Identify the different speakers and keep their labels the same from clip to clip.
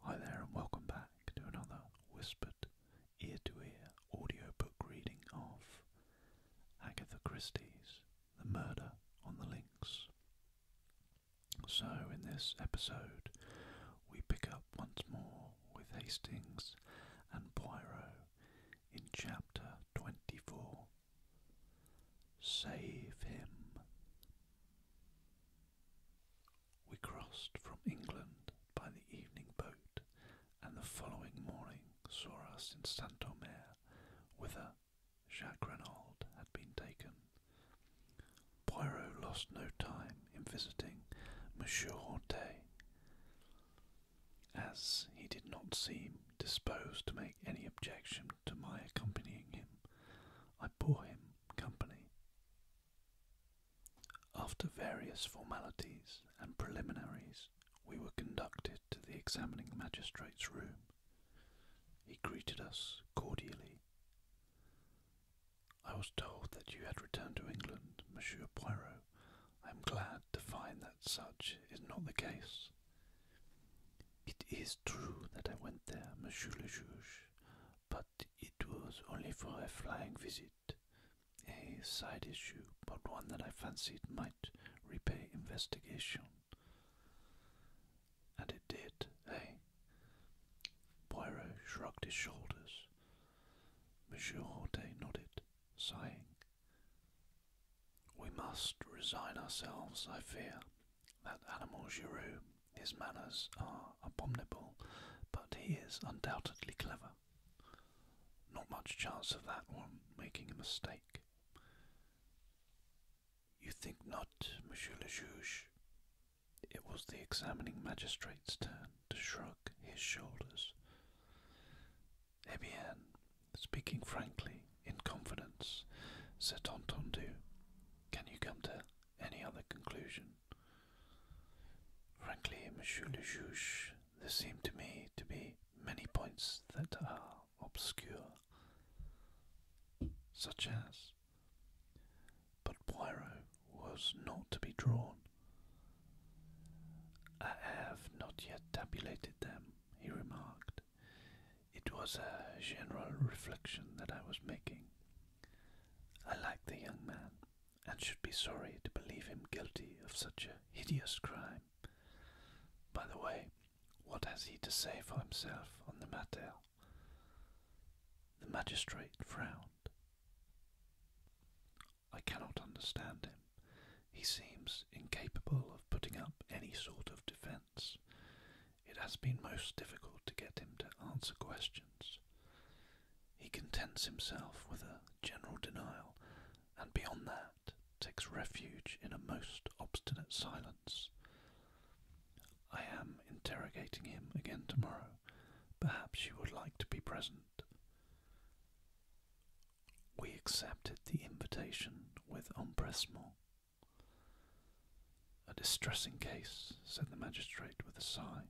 Speaker 1: Hi there, and welcome back to another whispered ear to ear audiobook reading of Agatha Christie's The Murder on the Links. So, in this episode, we pick up once more with Hastings and Poirot in chapter 24 Save Him. We crossed from England by the evening boat, and the following morning saw us in St. Omer, whither Jacques Renauld had been taken. Poirot lost no time in visiting Monsieur Hortet, as he did not seem disposed to make any objection to my accompanying him. I bore him Company. After various formalities and preliminaries, we were conducted to the examining magistrate's room. He greeted us cordially. I was told that you had returned to England, Monsieur Poirot. I am glad to find that such is not the case. It is true that I went there, Monsieur le Juge, but it was only for a flying visit, a side issue, but one that I fancied might repay investigation. And it did, eh? Poirot shrugged his shoulders. Monsieur Horte nodded, sighing. We must resign ourselves, I fear, that animal you his manners are abominable, but he is undoubtedly clever. Not much chance of that one making a mistake. You think not, Monsieur le Juge? It was the examining magistrate's turn to shrug his shoulders. Eh speaking frankly, in confidence, said entendu. Can you come to any other conclusion. Frankly, Monsieur Le Juge, there seem to me to be many points that are obscure, such as, but Poirot was not to be drawn. I have not yet tabulated them, he remarked. It was a general reflection that I was making. I like the young man, and should be sorry to believe him guilty of such a hideous crime. By the way, what has he to say for himself on the matter? The magistrate frowned. I cannot understand him. He seems incapable of putting up any sort of defence it has been most difficult to get him to answer questions. He contents himself with a general denial, and beyond that, takes refuge in a most obstinate silence. I am interrogating him again tomorrow. Perhaps you would like to be present. We accepted the invitation with empressement. A distressing case, said the magistrate with a sigh.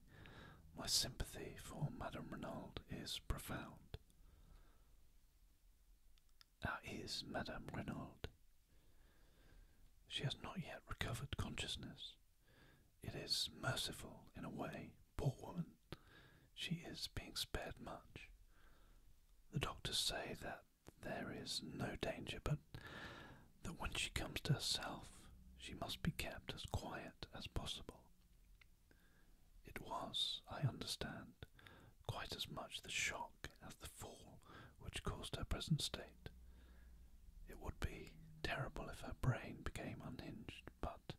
Speaker 1: My sympathy for Madame Renault is profound. That is Madame Renault. She has not yet recovered consciousness. It is merciful in a way, poor woman. She is being spared much. The doctors say that there is no danger, but that when she comes to herself, she must be kept as quiet as possible. It was, I understand, quite as much the shock as the fall which caused her present state. It would be terrible if her brain became unhinged, but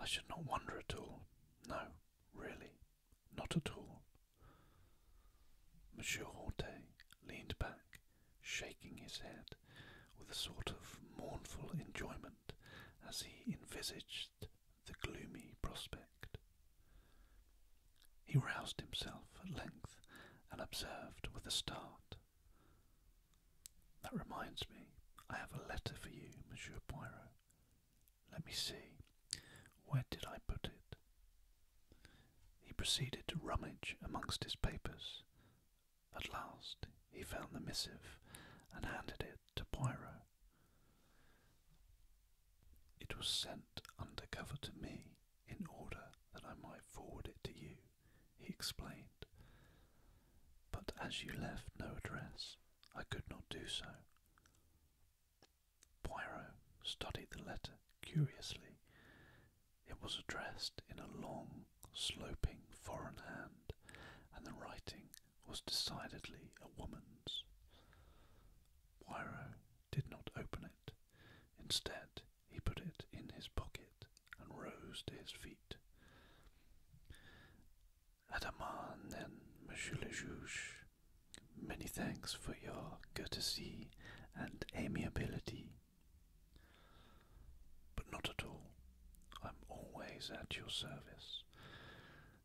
Speaker 1: I should not wonder at all. No, really, not at all. Monsieur Horte leaned back shaking his head with a sort of mournful enjoyment as he envisaged the gloomy prospect. He roused himself at length and observed with a start. That reminds me, I have a letter for you, Monsieur Poirot. Let me see, where did I put it? He proceeded to rummage amongst his papers at last he found the missive and handed it to Pyro. It was sent under cover to me in order that I might forward it to you, he explained. But as you left no address, I could not do so. Pyro studied the letter curiously it was addressed in a long, sloping foreign hand, and the writing was decidedly a woman's. Poirot did not open it. Instead, he put it in his pocket and rose to his feet. Adaman, then, Monsieur le Juge, many thanks for your courtesy and amiability. But not at all. I'm always at your service.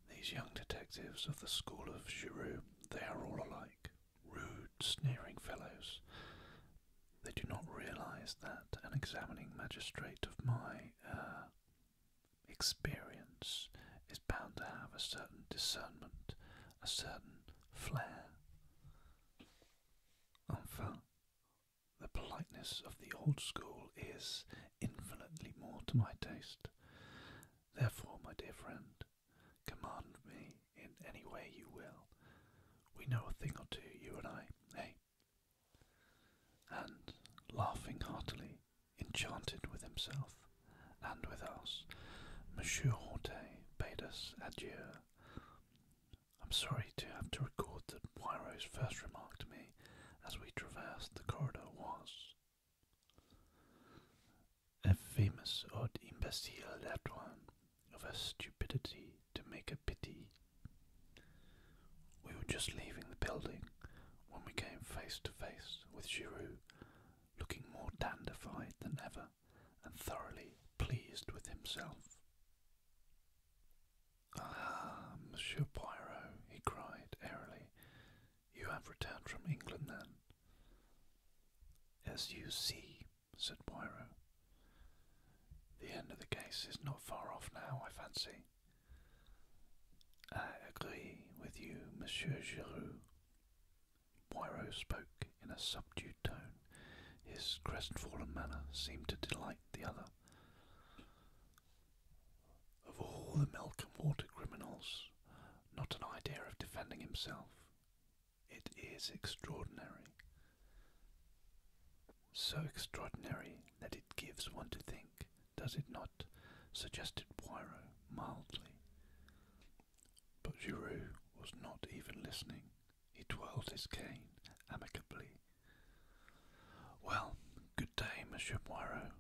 Speaker 1: These young detectives of the school of Girou, they are all alike, rude, sneering fellows. They do not realize that an examining magistrate of my uh, experience is bound to have a certain discernment, a certain flair. Oh, enfin, the politeness of the old school is infinitely more to my taste. Therefore, my dear friend, command me in any way you will. We know a thing or two, you and I, eh? And, laughing heartily, enchanted with himself and with us, Monsieur Hortet bade us adieu. I'm sorry to have to record that Poirot's first remark to me as we traversed the corridor was a famous odd imbecile that one of a stupidity to make a pity. We were just leaving the building when we came face to face with Giroux, looking more dandified than ever and thoroughly pleased with himself. Ah, Monsieur Poirot, he cried airily, you have returned from England then? As you see, said Poirot. The end of the case is not far off now, I fancy. I agree with you, Monsieur Giroux. Poirot spoke in a subdued tone. His crestfallen manner seemed to delight the other. Of all the milk and water criminals, not an idea of defending himself. It is extraordinary. So extraordinary that it gives one to think, does it not? suggested Poirot mildly. But Giroux was not even listening. He twirled his cane amicably. Well, good day, Monsieur Moiro.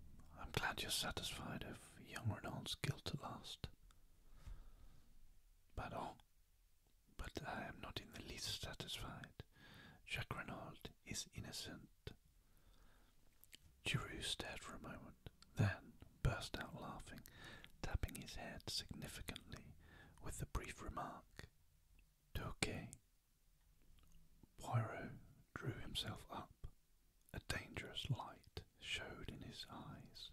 Speaker 1: I'm glad you're satisfied of young Renaud's guilt at last. Pardon, but I am not in the least satisfied. Jacques Renaud is innocent. Giroux stared for a moment, then burst out laughing, tapping his head significantly with the brief remark Toquet. Poirot drew himself up. A dangerous light showed in his eyes.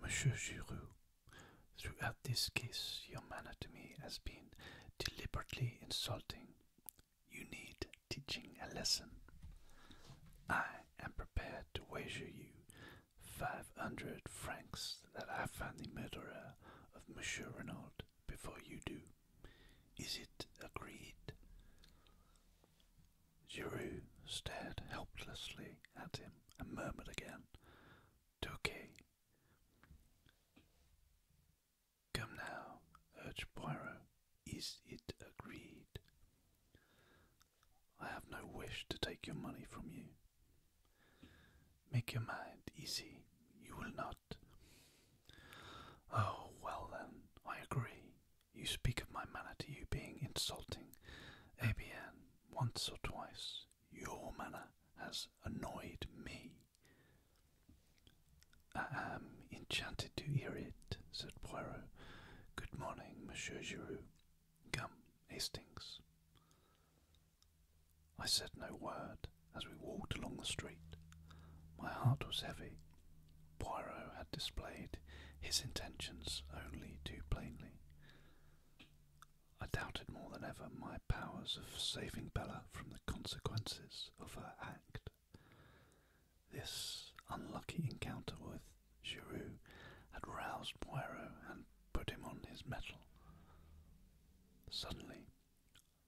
Speaker 1: Monsieur Giroux, throughout this case your manner to me has been deliberately insulting. You need teaching a lesson. I am prepared to wager you five hundred francs that I find the murderer of Monsieur Renault before you do. Is it agreed? Girou stared helplessly at him and murmured again, Touquet. Come now, urged Poirot. Is it agreed? I have no wish to take your money from you. Make your mind easy, you will not. Oh, well then, I agree. You speak of my manner to you being insulting. ABN, once or twice, your manner has annoyed me. I am enchanted to hear it, said Poirot. Good morning, Monsieur Giroux. Come, Hastings. I said no word as we walked along the street. My heart was heavy. Poirot had displayed his intentions only too plainly. I doubted more than ever my powers of saving Bella from the consequences of her act. This unlucky encounter with Giroux had roused Poirot and put him on his mettle. Suddenly,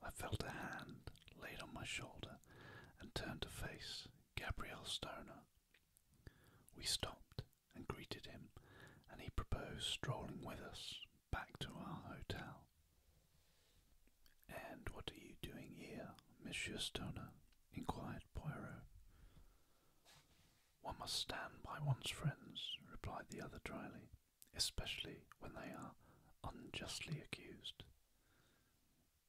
Speaker 1: I felt a hand laid on my shoulder and turned to face Gabriel Stoner. We stopped and greeted him, and he proposed strolling with us back to our hotel. And what are you doing here, Monsieur Stoner? inquired Poirot. One must stand by one's friends, replied the other dryly, especially when they are unjustly accused.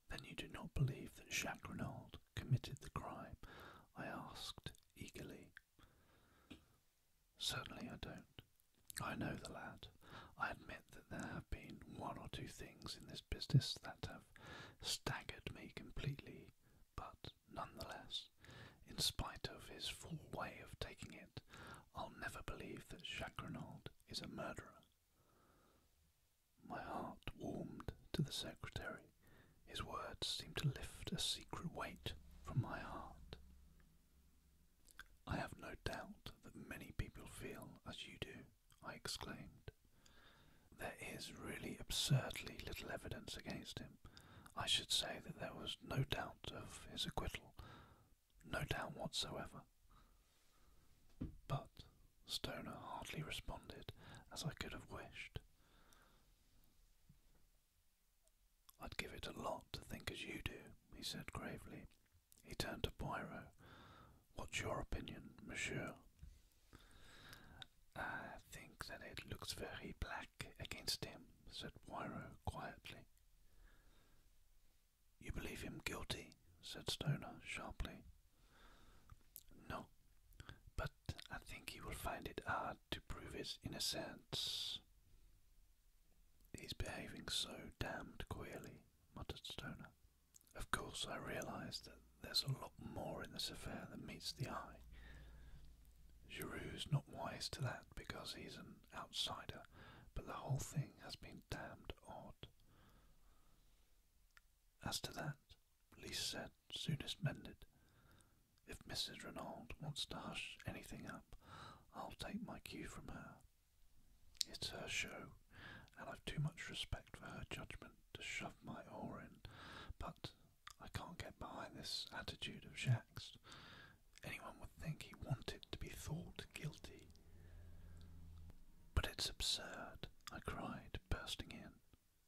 Speaker 1: Then you do not believe that Jacques Renaud committed the crime? I asked eagerly. Certainly I don't. I know the lad. I admit that there have been one or two things in this business that have staggered me completely but nonetheless, in spite of his full way of taking it, I'll never believe that Jacques Renaud is a murderer. My heart warmed to the secretary. His words seemed to lift a secret weight from my heart. I have no doubt that many people feel as you do, I exclaimed. There is really absurdly little evidence against him, I should say that there was no doubt of his acquittal, no doubt whatsoever. But Stoner hardly responded as I could have wished. I'd give it a lot to think as you do, he said gravely. He turned to Poirot. What's your opinion, monsieur? I think that it looks very black against him, said Poirot quietly. You believe him guilty? said Stoner sharply. No, but I think he will find it hard to prove his innocence. He's behaving so damned queerly, muttered Stoner. Of course, I realize that there's a lot more in this affair than meets the eye. Giroud's not wise to that because he's an outsider, but the whole thing has been damned odd. As to that, Lise said, soonest mended. If Mrs. Renauld wants to hush anything up, I'll take my cue from her. It's her show, and I've too much respect for her judgment to shove my oar in, but I can't get behind this attitude of Jacques. Anyone would think he wanted to be thought guilty. But it's absurd, I cried, bursting in.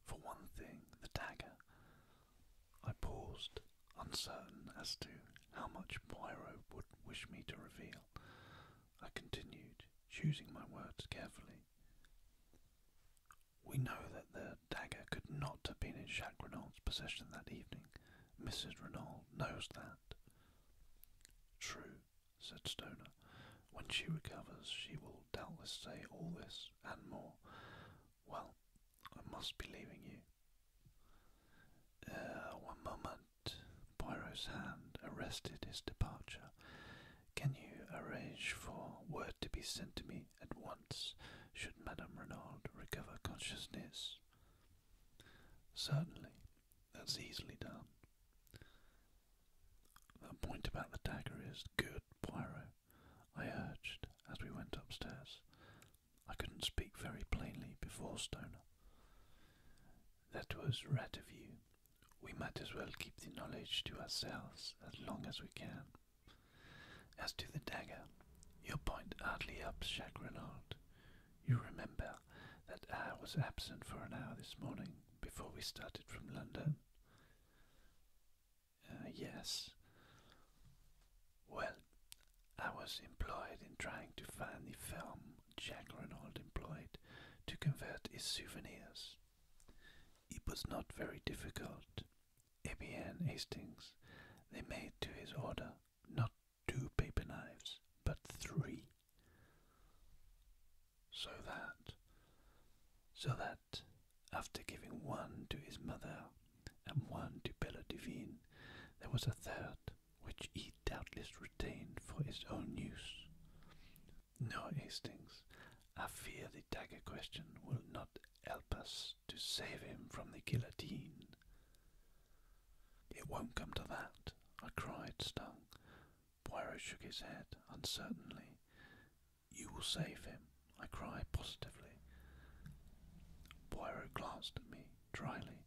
Speaker 1: For one thing, the dagger. I paused, uncertain as to how much Pyro would wish me to reveal. I continued, choosing my words carefully. We know that the dagger could not have been in Jacques Renault's possession that evening. Mrs. Renault knows that. True, said Stoner. When she recovers, she will doubtless say all this and more. Well, I must be leaving you. Uh, one moment. Poirot's hand arrested his departure. Can you arrange for word to be sent to me at once should Madame Renard recover consciousness. Certainly, that's easily done. The point about the dagger is good, Poirot, I urged as we went upstairs. I couldn't speak very plainly before Stoner. That was right of you. We might as well keep the knowledge to ourselves as long as we can. As to the dagger, your point hardly helps Renault. You remember that I was absent for an hour this morning before we started from London? Uh, yes. Well, I was employed in trying to find the film Jack Renault employed to convert his souvenirs. It was not very difficult. Abian Hastings, they made to his order not two paper knives, but three. So that, so that, after giving one to his mother and one to Bella Devine, there was a third, which he doubtless retained for his own use. No, Hastings, I fear the dagger question will not help us to save him from the guillotine. It won't come to that, I cried, stung. Poirot shook his head uncertainly. You will save him, I cried positively. Poirot glanced at me dryly.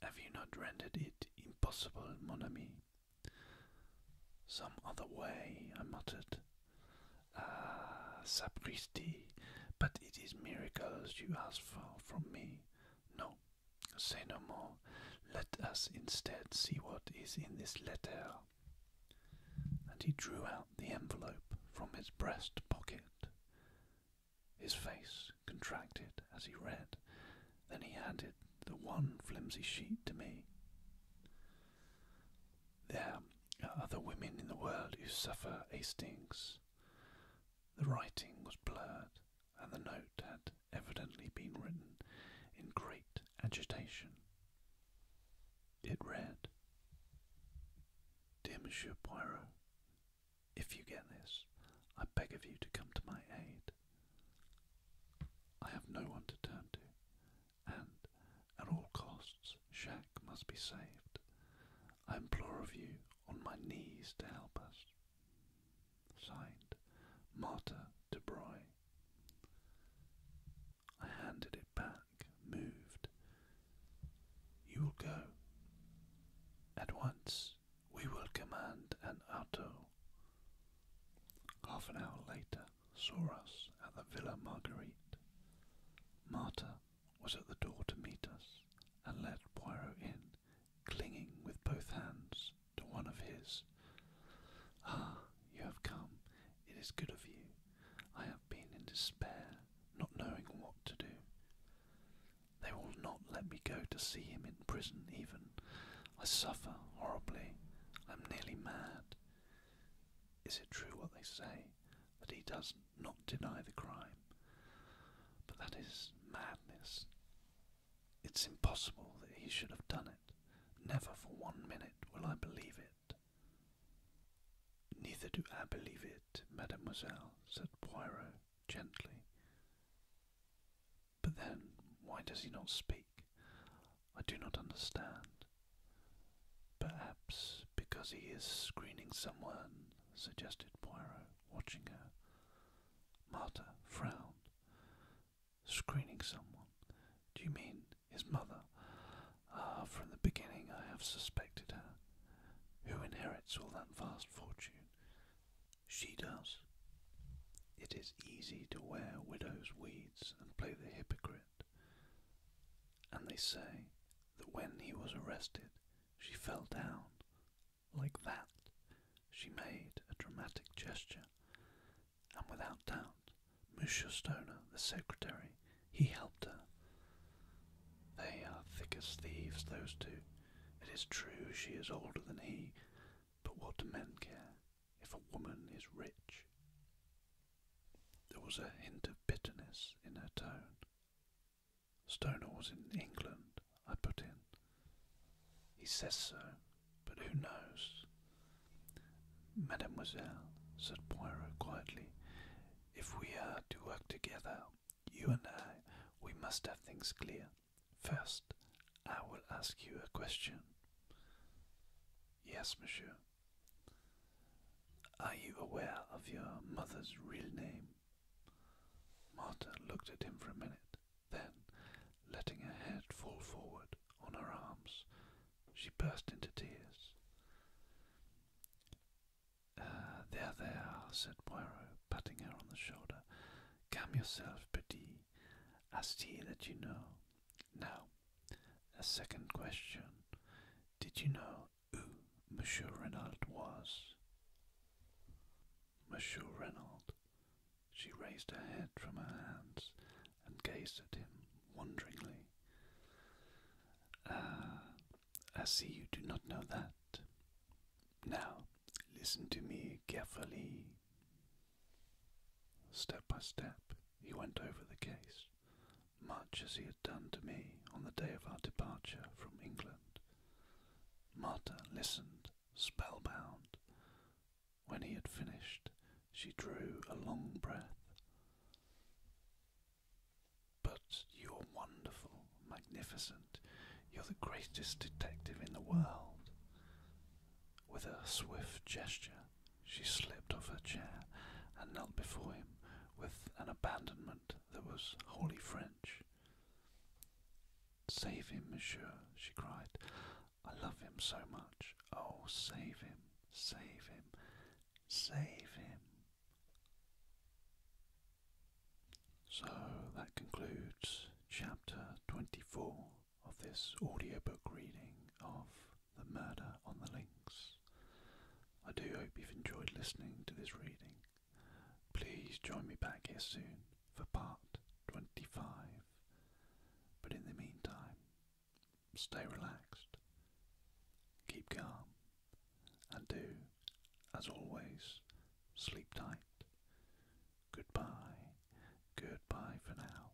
Speaker 1: Have you not rendered it impossible, mon ami? Some other way, I muttered, Ah, sapristi, but it is miracles you ask for from me. No, say no more. Let us instead see what is in this letter. And he drew out the envelope from his breast pocket. His face contracted as he read. Then he handed the one flimsy sheet to me. There are other women in the world who suffer stings. The writing was blurred, and the note had evidently been written in great agitation. It read Dear Monsieur Poirot, if you get this, I beg of you to come to my aid. I have no one to turn to, and, at all costs, Jacques must be saved. I implore of you, on my knees, to help us. Signed, Marta de Broglie. I handed it back, moved. You will go. At once, we will command an auto. Half an hour later saw us at the Villa Marguerite. Marta was at the door to meet us, and led Poirot in, clinging with both hands to one of his. Ah, you have come. It is good of you. I have been in despair, not knowing what to do. They will not let me go to see him in prison, even. I suffer horribly. I'm nearly mad. Is it true what they say? that he does not deny the crime. But that is madness. It's impossible that he should have done it. Never for one minute will I believe it. Neither do I believe it, mademoiselle, said Poirot gently. But then, why does he not speak? I do not understand. Perhaps because he is screening someone, suggested Poirot, watching her. Martha frowned. Screening someone? Do you mean his mother? Ah, from the beginning I have suspected her. Who inherits all that vast fortune? She does. It is easy to wear widow's weeds and play the hypocrite and they say that when he was arrested, she fell down like that. She made a dramatic gesture, and without doubt, Monsieur Stoner, the secretary, he helped her. They are thick as thieves, those two. It is true she is older than he, but what do men care if a woman is rich? There was a hint of bitterness in her tone Stonewall's in England, I put in. He says so, but who knows? Mademoiselle, said Poirot quietly, if we are to work together, you and I, we must have things clear. First, I will ask you a question. Yes, monsieur. Are you aware of your mother's real name? Marta looked at him for a minute, then, letting her head fall forward on her arms, she burst into tears. Uh, there, there, said Poirot, patting her on the shoulder. "Come yourself, Petit. I see that you know. Now, a second question. Did you know who Monsieur Reynald was. Monsieur Reynald. She raised her head from her hands and gazed at him wonderingly. Ah, I see you do not know that. Now, listen to me carefully. Step by step, he went over the case much as he had done to me on the day of our departure from England. Marta listened, spellbound. When he had finished, she drew a long breath. But you're wonderful, magnificent. You're the greatest detective in the world. With a swift gesture, she slipped off her chair and knelt before him with an abandonment that was wholly French. Save him, monsieur, she cried. I love him so much. Oh, save him, save him, save him. So that concludes chapter 24 of this audiobook reading of The Murder on the Links. I do hope you've enjoyed listening to this reading. Please join me back here soon for part 25. But in the meantime, stay relaxed, keep calm, and do, as always, sleep tight. Goodbye, goodbye for now.